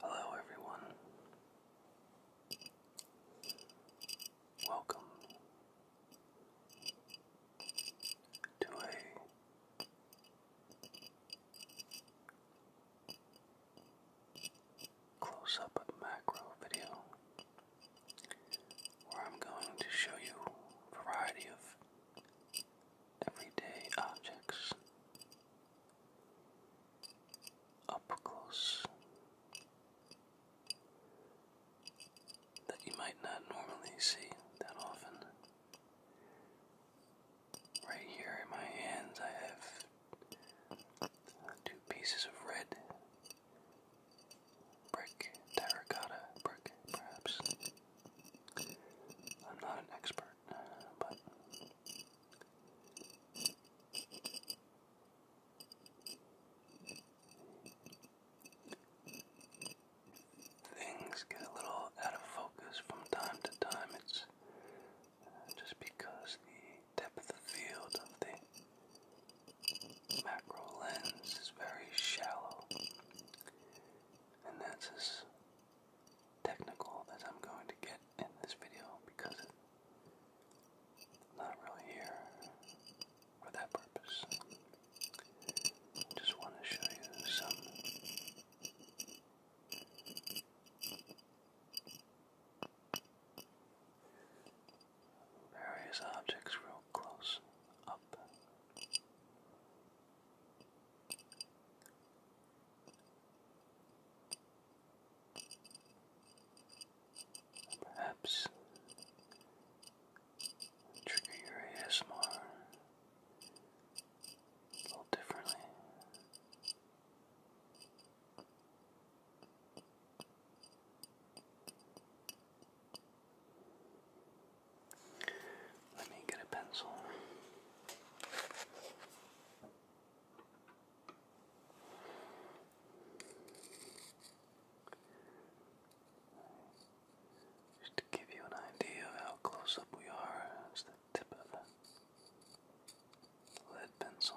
Hello, everyone. Welcome to a close up macro video where I'm going to show you variety of everyday objects up close that you might not normally see that often. Right here in my hands, I have two pieces of red brick, terracotta brick, perhaps. I'm not an expert, but Things get a little out of focus from time to time. It's uh, just because the depth of field of the macro lens is very shallow, and that's as technical as I'm going to get in this video because it's not really here for that purpose. Just want to show you some various objects real close up. Perhaps trigger your ASMR a little differently. Let me get a pencil. Just to give you an idea of how close up we are, it's the tip of the lead pencil.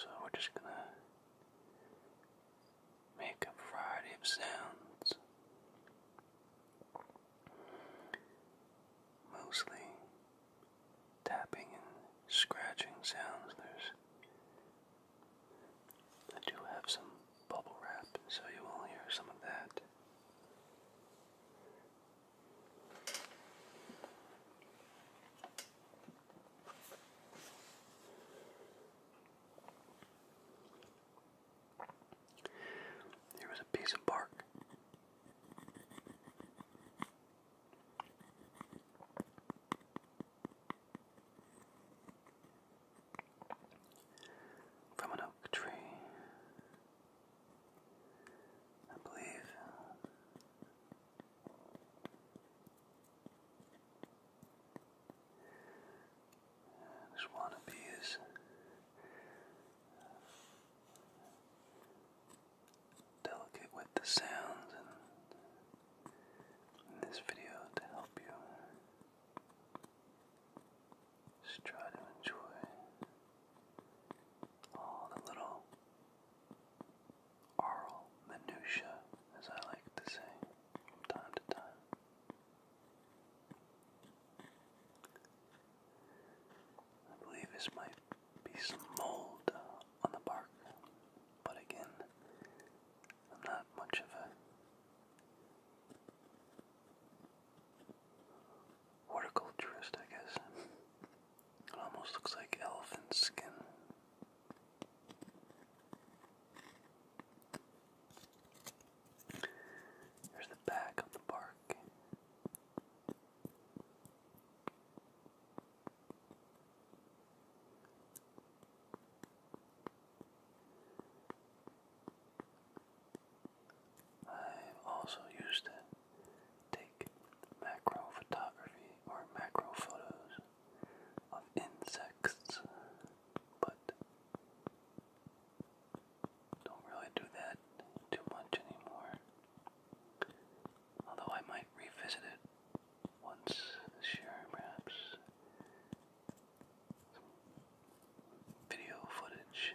So we're just going to make a variety of sounds, mostly tapping and scratching sounds. There's I do have some bubble wrap, so you will hear some of that. There was a piece of bark. From an oak tree, I believe this wannabe is delicate with the sounds in this video to help you just try to enjoy all the little aural minutia, as I like to say from time to time. I believe this might be some mold on the bark, but again, I'm not much of a horticulturist, I guess. It almost looks like elephant skin there's the back of the bark. i also used to take macro photography or macro photos of insects, but don't really do that too much anymore. Although I might revisit it once this year, perhaps. video footage.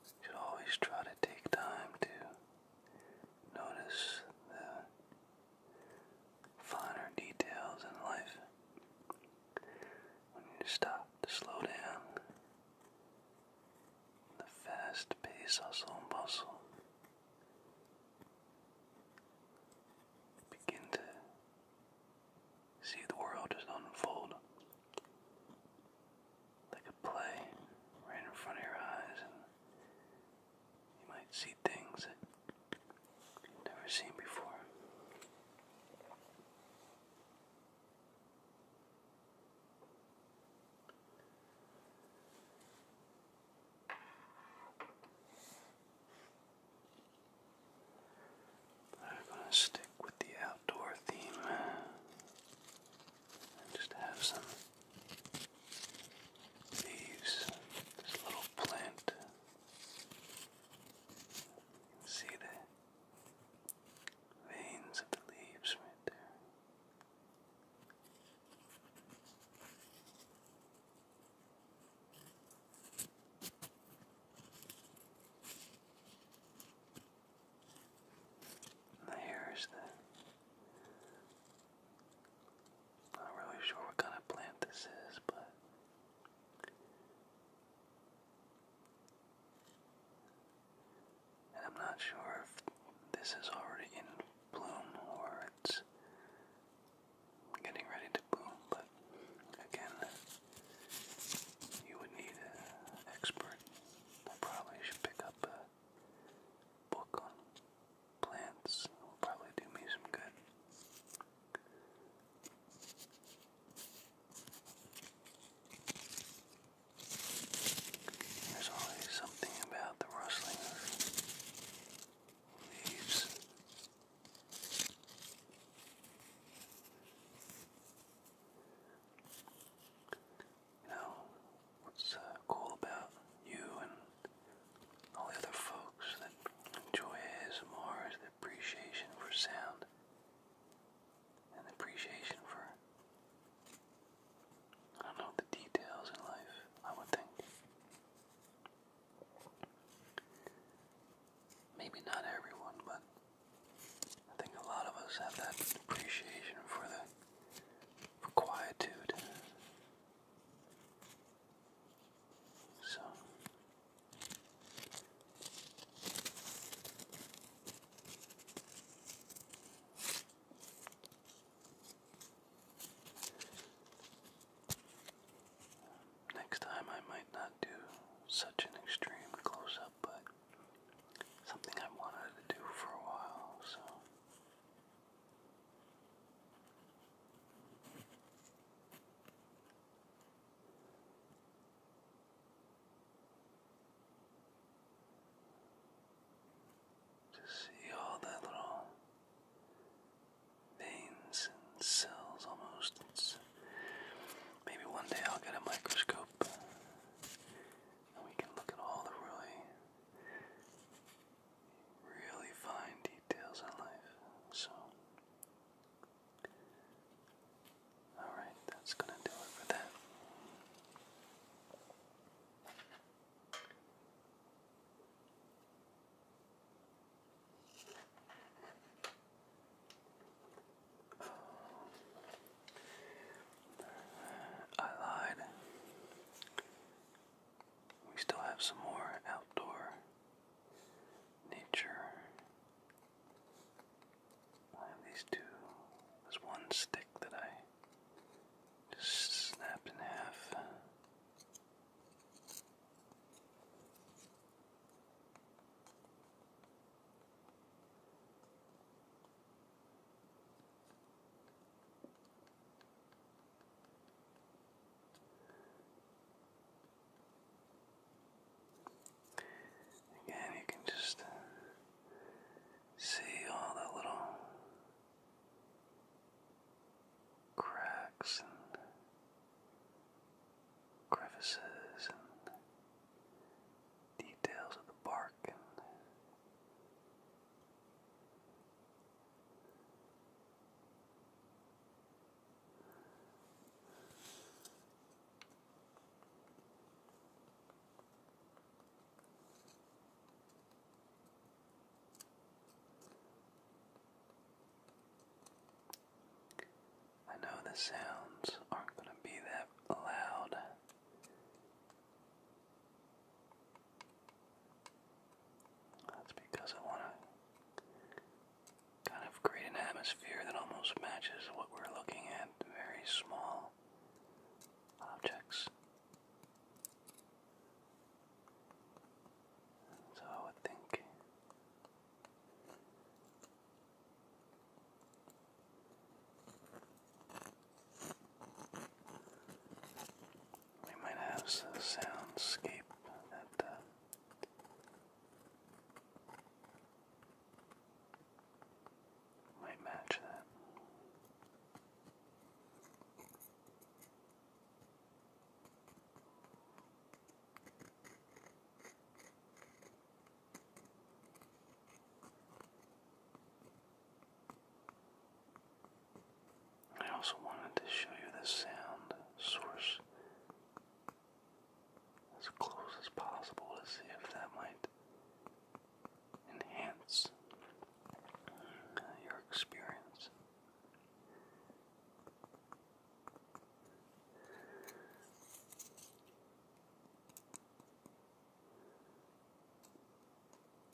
You should always try to take time to notice the finer details in life. When you stop to slow down, the fast paced hustle and bustle begin to see the world just unfold like a play right in front of your eyes you might see things that you've never seen before. I'm going to stick with the outdoor theme and just have some these, this little plant. See the veins of the leaves right there. here's the not really sure what kind of plant this is, but I'm not sure if this is already in bloom or it's getting ready to bloom, but again, you would need an expert. I probably should pick up a book on plants will probably do me some good. There's always something about the rustling of leaves. You know, what's uh, cool about you and all the other folks that enjoy ASMR is the appreciation for sound and appreciation for, I don't know, the details in life, I would think. Maybe not everyone, but I think a lot of us have that appreciation for the for quietude. So next time I might not do such an extreme close up, but something I wanted to do for a while, so to see all the little veins and cells almost. maybe one day I'll get a microscope and we can look at all the really really fine details in life. So, alright, that's gonna do it for that. I lied. We still have some more outdoor nature. I have these two. There's one stick that I just snapped in half. Again, you can just see all the little cracks and crevices and details of the bark I know the sounds aren't going to be that loud, that's because I want to kind of create an atmosphere that almost matches what we're looking at, very small objects. So I would think we might have a soundscape that. Uh, might match that. I also wanted to show you the sound source as close as possible to see if that might enhance uh, your experience.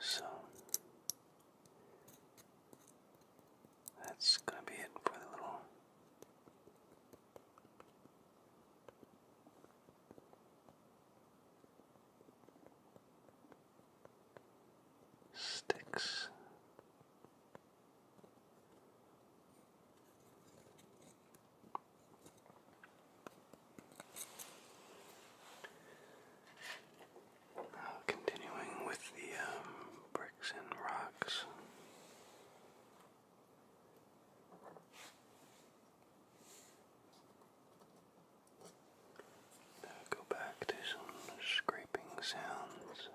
So that's going to be it for the little sticks. continuing with the um, bricks and rocks. go back to some scraping sounds.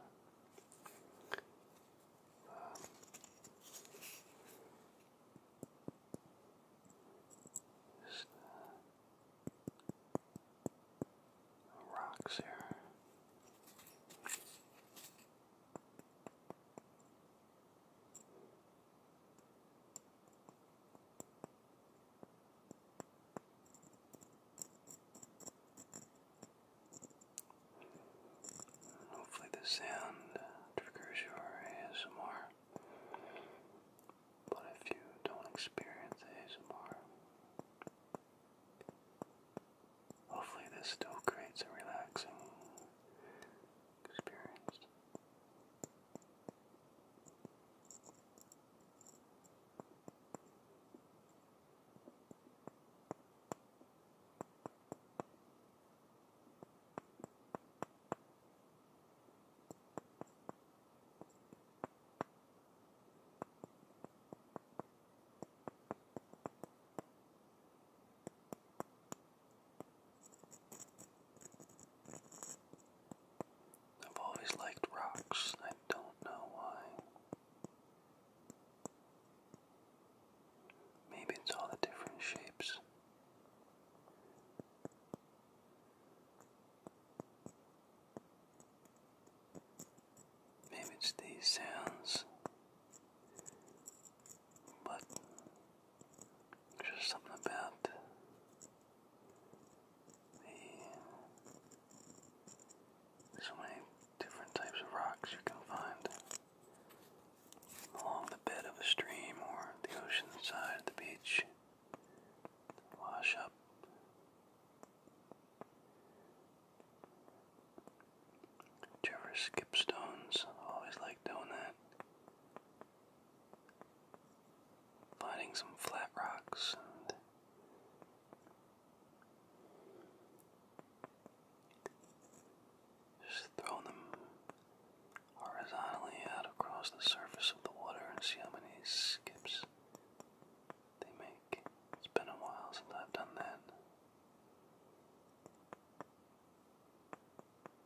Um, just, uh, rocks here. Hopefully, the sound triggers your ASMR. But if you don't experience ASMR, hopefully, this still creates a relaxing experience. I've always liked rocks. I don't know why. Maybe it's all the different shapes. Maybe it's these sounds, but there's something about so many different types of rocks you can find along the bed of a stream or the ocean side of the beach. Wash up. Did you ever skip stones? always like doing that. Finding some flat rocks just throw them horizontally out across the surface of the water and see how many skips they make. It's been a while since I've done that.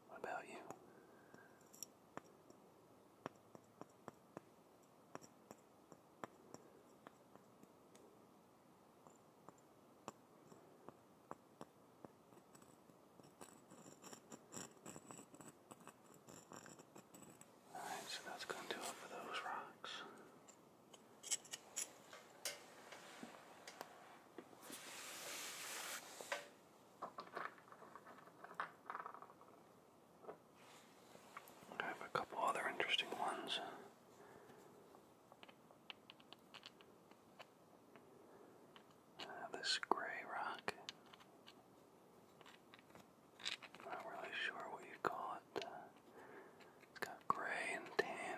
What about you? Alright, so that's going to do it for those rocks. I have a couple other interesting ones. this gray rock. not really sure what you call it. it's got gray and tan.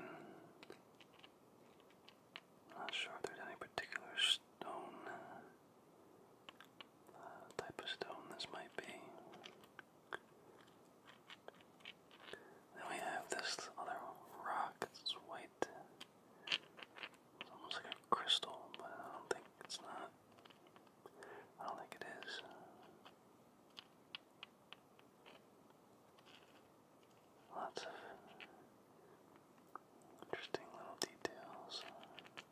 not sure if there's any particular stone uh, type of stone this might be. Then we have this other rock. It's white. almost like a crystal, but I don't think it's not. I don't think it is. Lots of interesting little details.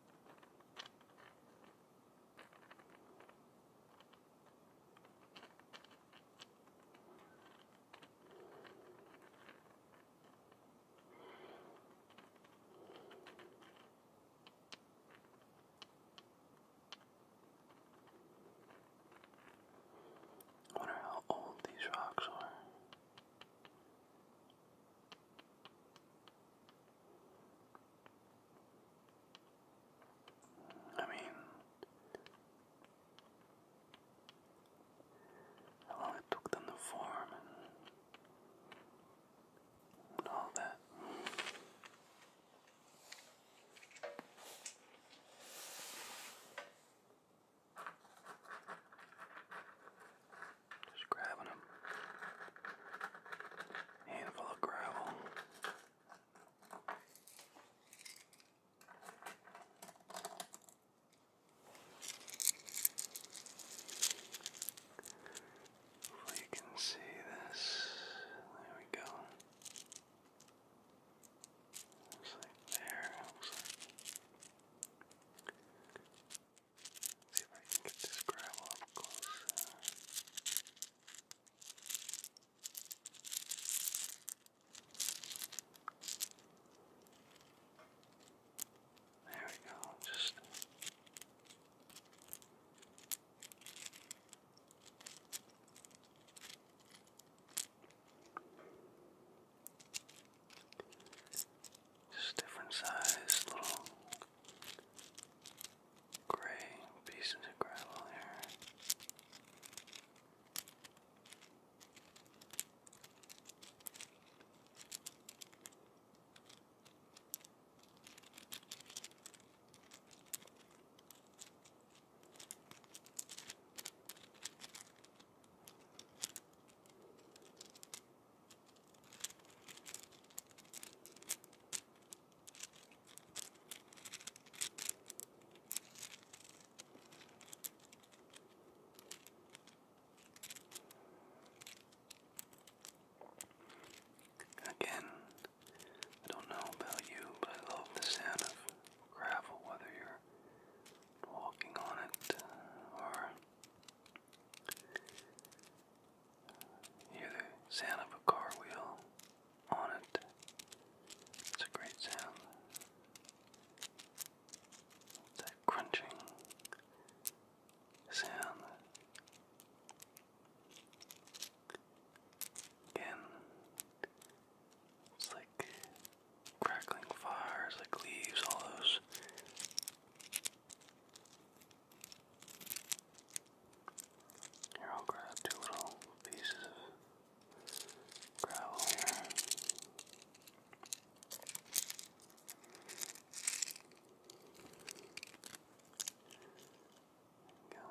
I wonder how old these rocks are. I mean, how long it took them to form and, all that. Just grabbing them, handful of gravel. Hopefully you can see this. There we go. Looks like there. See if I can get this gravel up close. There we go, just just different size little gray pieces of gravel here. Again, I don't know about you, but I love the sound of gravel, whether you're walking on it uh, or Hear the sound of a car wheel on it. It's a great sound. That crunching sound. Again, it's like crackling fires, like leaves, all those here, I'll grab two little pieces of gravel here. There we go. There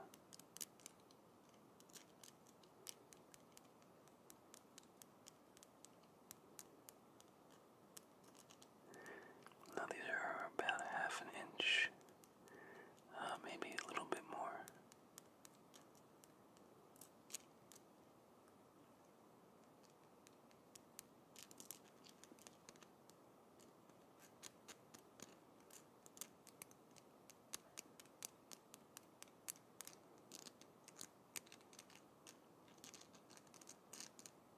now these are about a half an inch, uh, maybe a little bit more.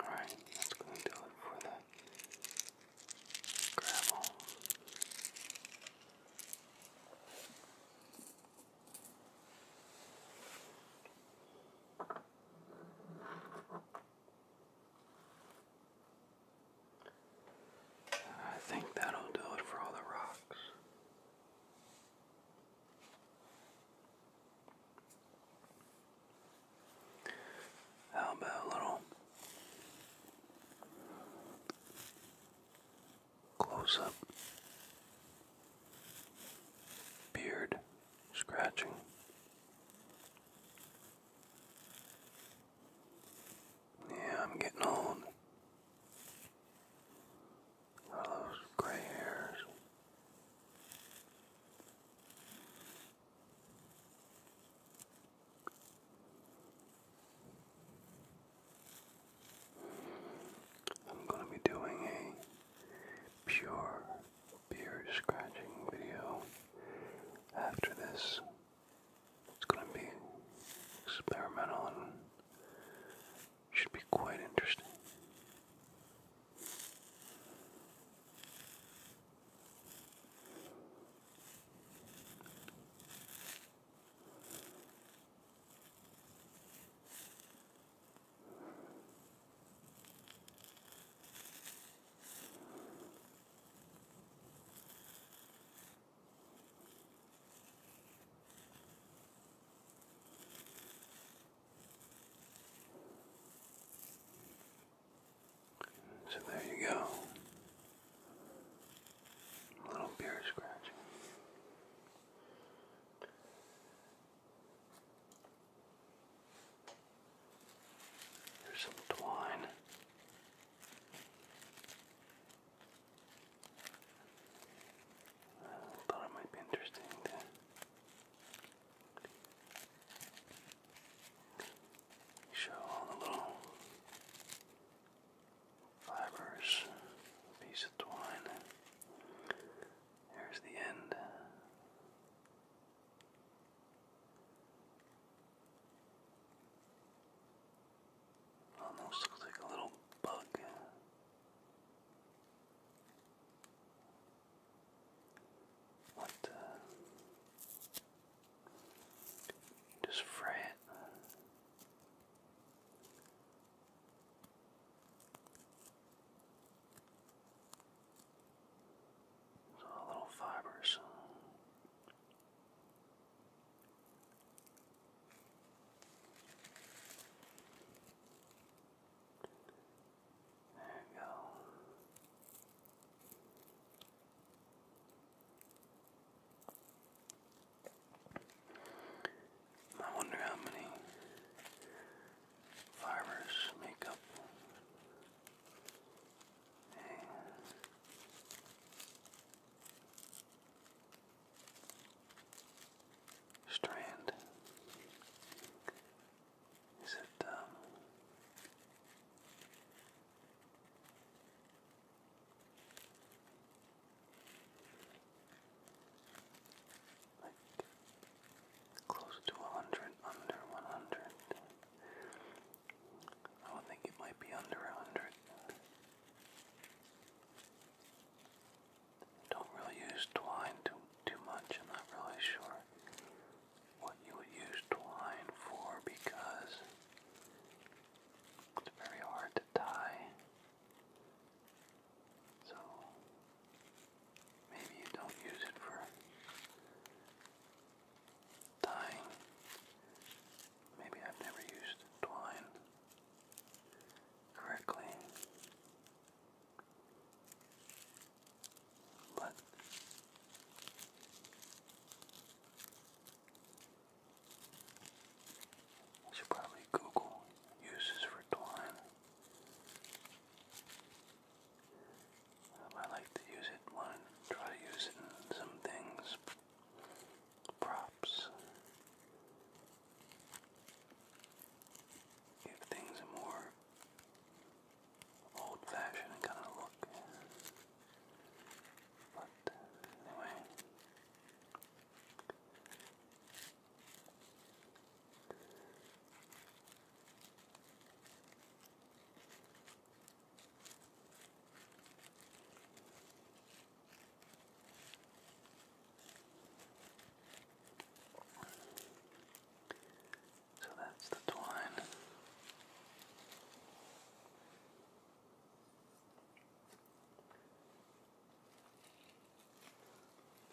Alright, that's going to do it for the gravel. I think that'll do it for all the rocks. How about a little close up beard scratching? Yeah, I'm getting old. All those gray hairs. I'm going to be doing a pure beard scratching video after this. It's going to be experimental should be quite interesting. So there you go. A little beer scratching. There's some twine. I thought it might be interesting to show all the little fibers, piece of twine. Here's the end. Almost looks like a little bug. What the? Just fret. So little fibers. There we I wonder how many farmers make up strand. Is it um like close to a hundred, under one hundred? I would think it might be under a hundred don't really use twine too, too much. I'm not really sure what you would use twine for because it's very hard to tie. So maybe you don't use it for tying. Maybe I've never used twine correctly. But I should probably Google uses for twine. Um, I like to use it when to use it some things. Props give things a more old fashioned kind of look. But anyway. So that's the twine.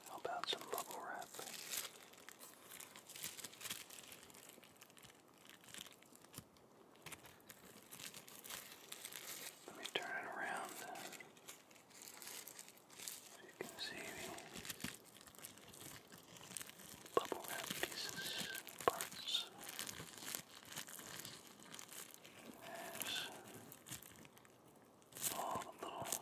How about some bubble wrap? Let me turn it around. As you can see the bubble wrap pieces and parts. There's all the little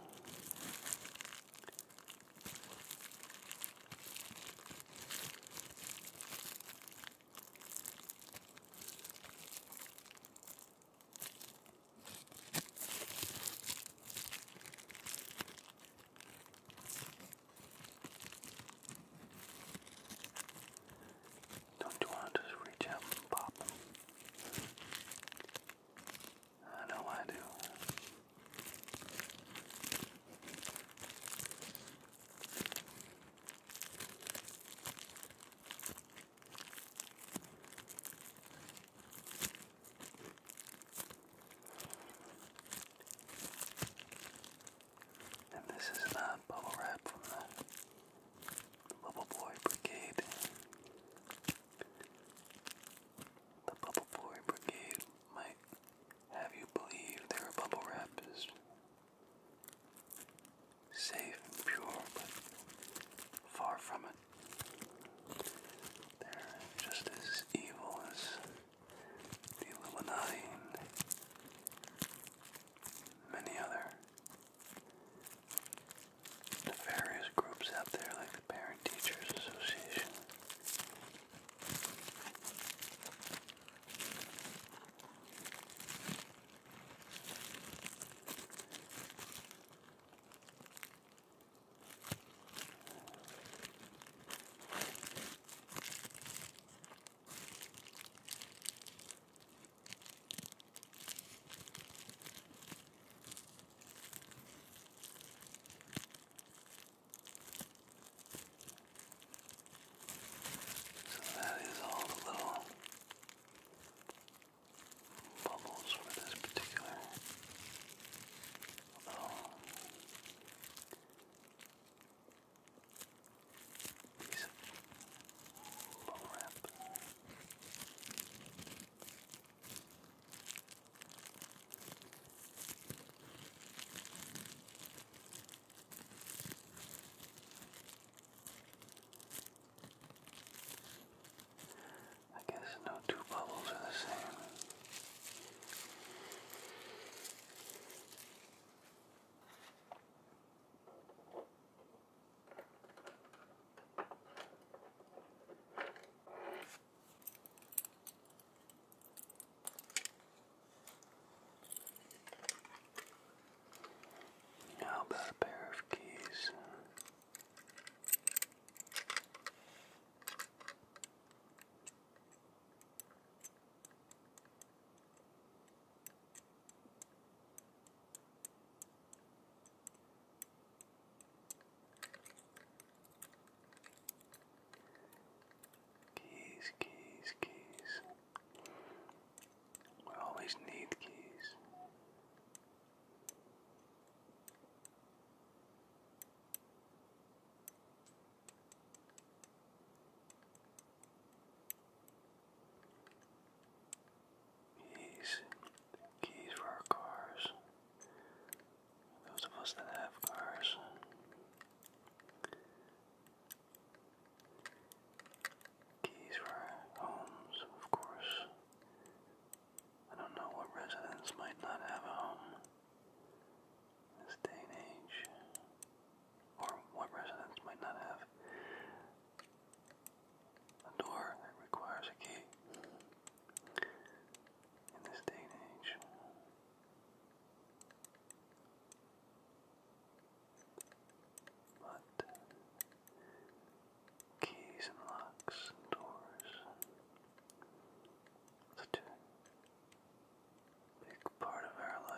don't you want to reach out and I know I do. And this is not uh, bubble wrap from the Bubble Boy Brigade. The Bubble Boy Brigade might have you believe their bubble wrap is safe and pure, but far from it. They're just as evil as the Illuminati many other nefarious groups out there like the Parent Teachers Association. So that is all the little bubbles for this particular. Um, piece of bubble wrap. I guess no two bubbles are the same. How about a pair of keys? Keys, keys, keys. We always need keys. Keys, keys for our cars. Those of us that have cars. Keys for our homes, of course. I don't know what residents might not have a home this day and age, or what residents might not have a door that requires a key in this day and age. But keys and locks and doors such a big part of our life.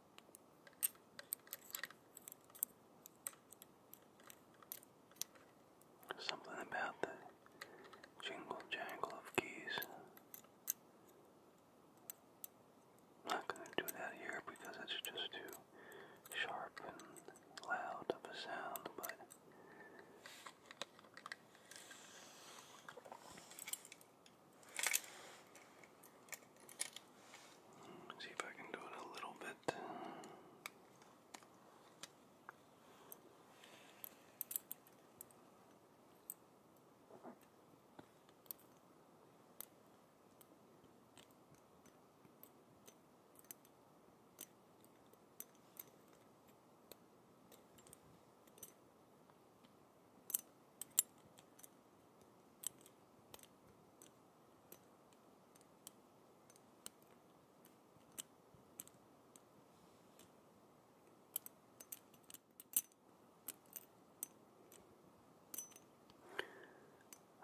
Something about the jingle jangle of keys. not going to do that here because it's just too sharp and loud of a sound, but. See if I can do it a little bit.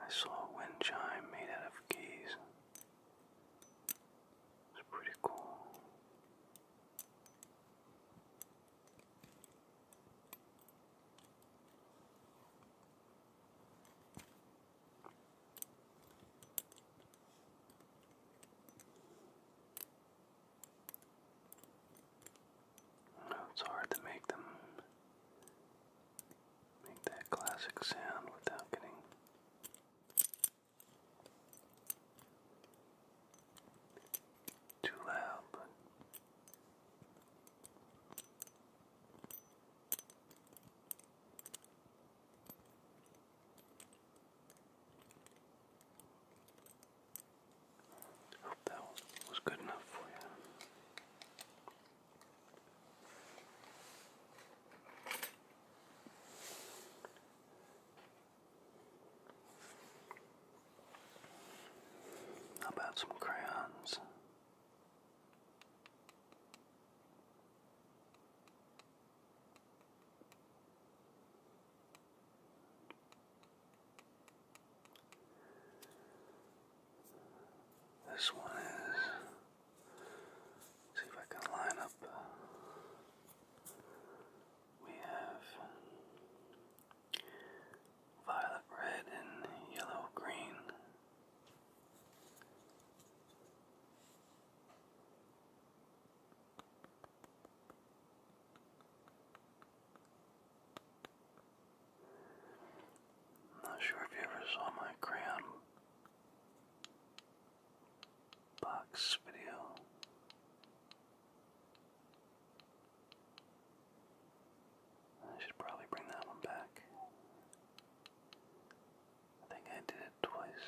I saw a wind chime made out of keys. pretty cool. Well, oh, it's hard to make them make that classic sound without getting too loud, but Hope that was good enough for you. How about some crayons? This one is. See if I can line up. We have violet red, and yellow green. not sure if you ever saw my crayon box video. I should probably bring that one back. I think I did it twice.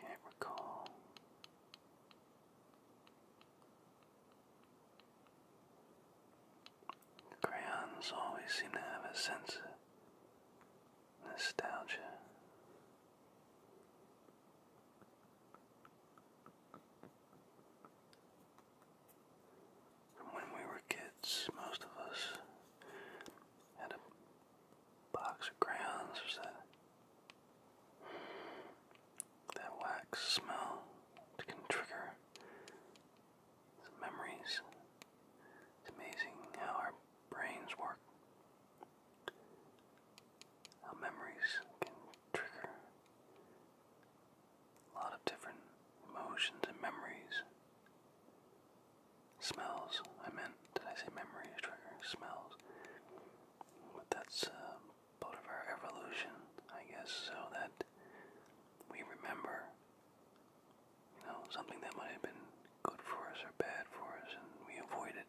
Can't recall. Crayons always seem to have a sense of nostalgia. When we were kids, most of us had a box of crayons. There's that, that wax smell that can trigger some memories. It's amazing how our brains work. How memories can trigger a lot of different emotions and memories. Smells, I meant, did I say memories, trigger, smells? But that's uh, part of our evolution, I guess, so that we remember, you know, something that might have been good for us or bad for us, and we avoid it.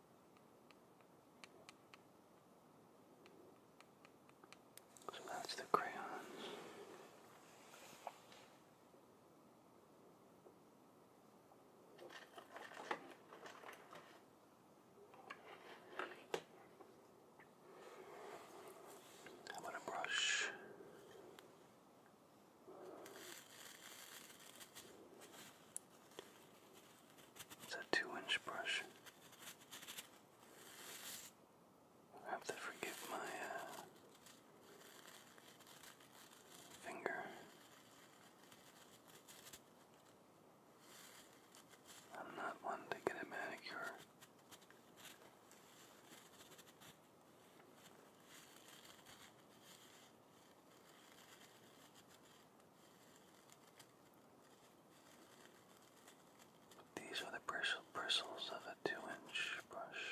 So that's the crayons. How about a brush? It's a two inch brush. I have to forgive my uh, finger. I'm not one to get a manicure. These are the bristles of a two inch brush.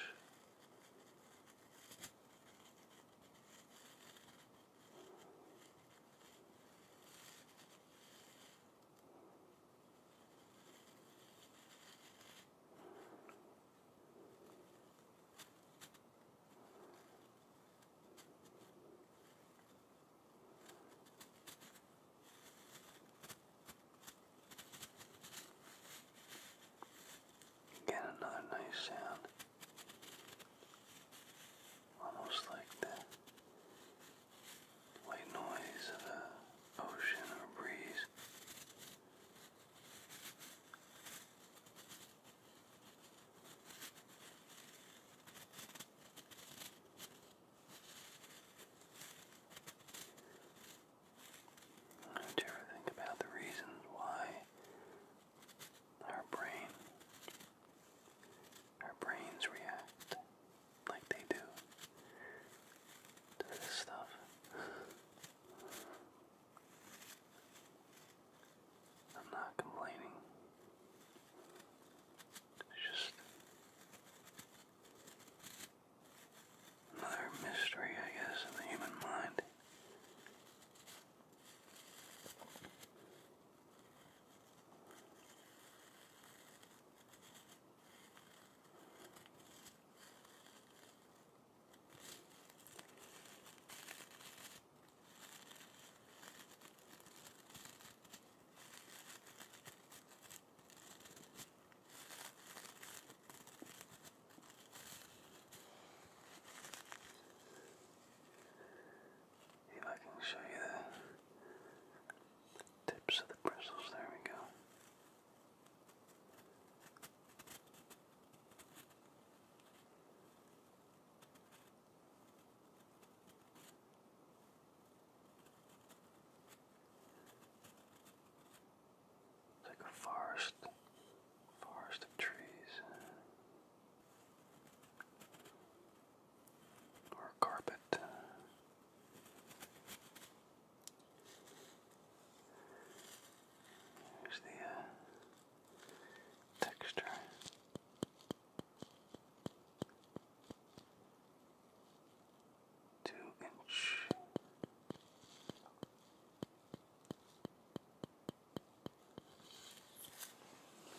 Again, another nice sound, almost like the white noise of the ocean or breeze. Do you think about the reasons why our brain, our brains react like they do to this stuff? I'm not complaining. Just another mystery, I guess, in the human mind. If I can show you the tips of the bristles, there we go. It's like a forest, forest of trees, or carpet. Here's the uh, texture two inch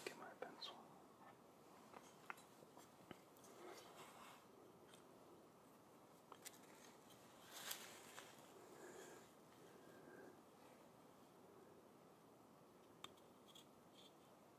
get my pencil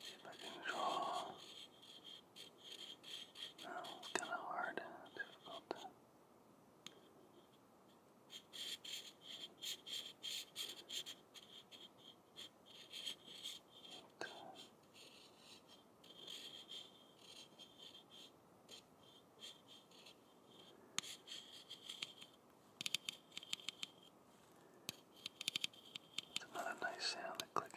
See if I can draw. No, it's kind of hard, difficult. Okay. It's another nice sound of clicking.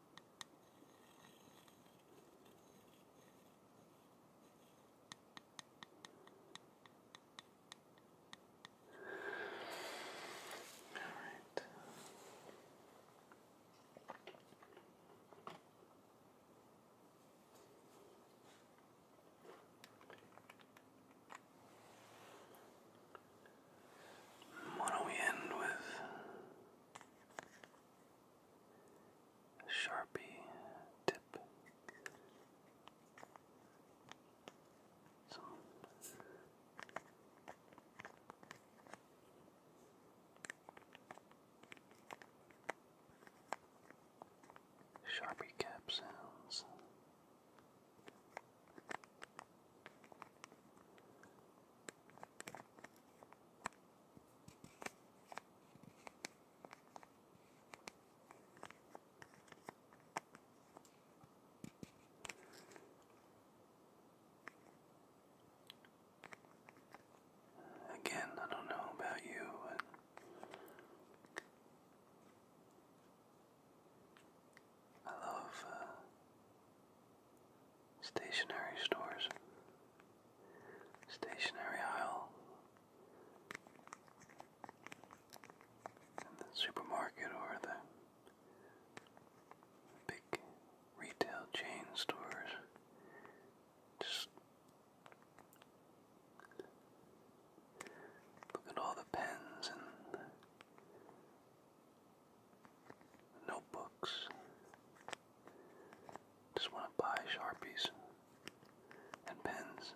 All right. Why don't we end with Sharpie tip. Some Sharpie cap sounds. Again, I don't know about you, but I love uh, Stationary stores, stationary aisle, the supermarket or the big retail chain stores. Just look at all the pens and notebooks. Just want to buy Sharpies and pens.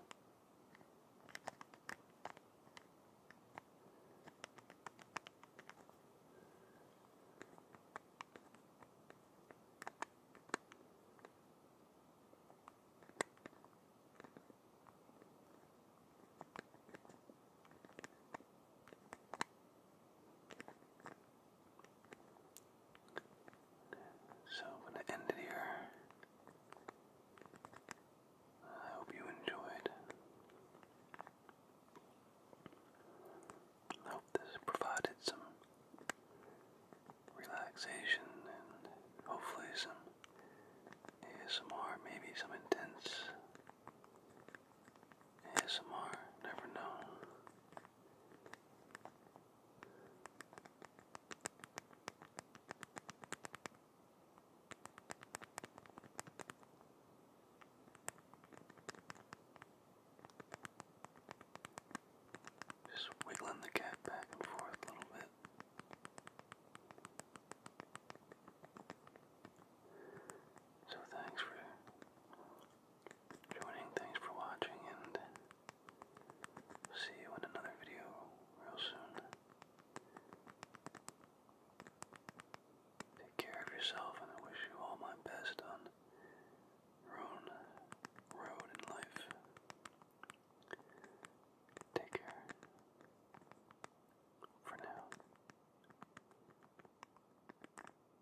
So I'm going to end it here. I hope you enjoyed. I hope this provided some relaxation and hopefully some ASMR, maybe some intense ASMR, never know. Just wiggling the cat back and forth a little bit. So thanks for joining. Thanks for watching, and see you in another video real soon. Take care of yourself, and I wish you all my best on your own road in life. Take care. For now.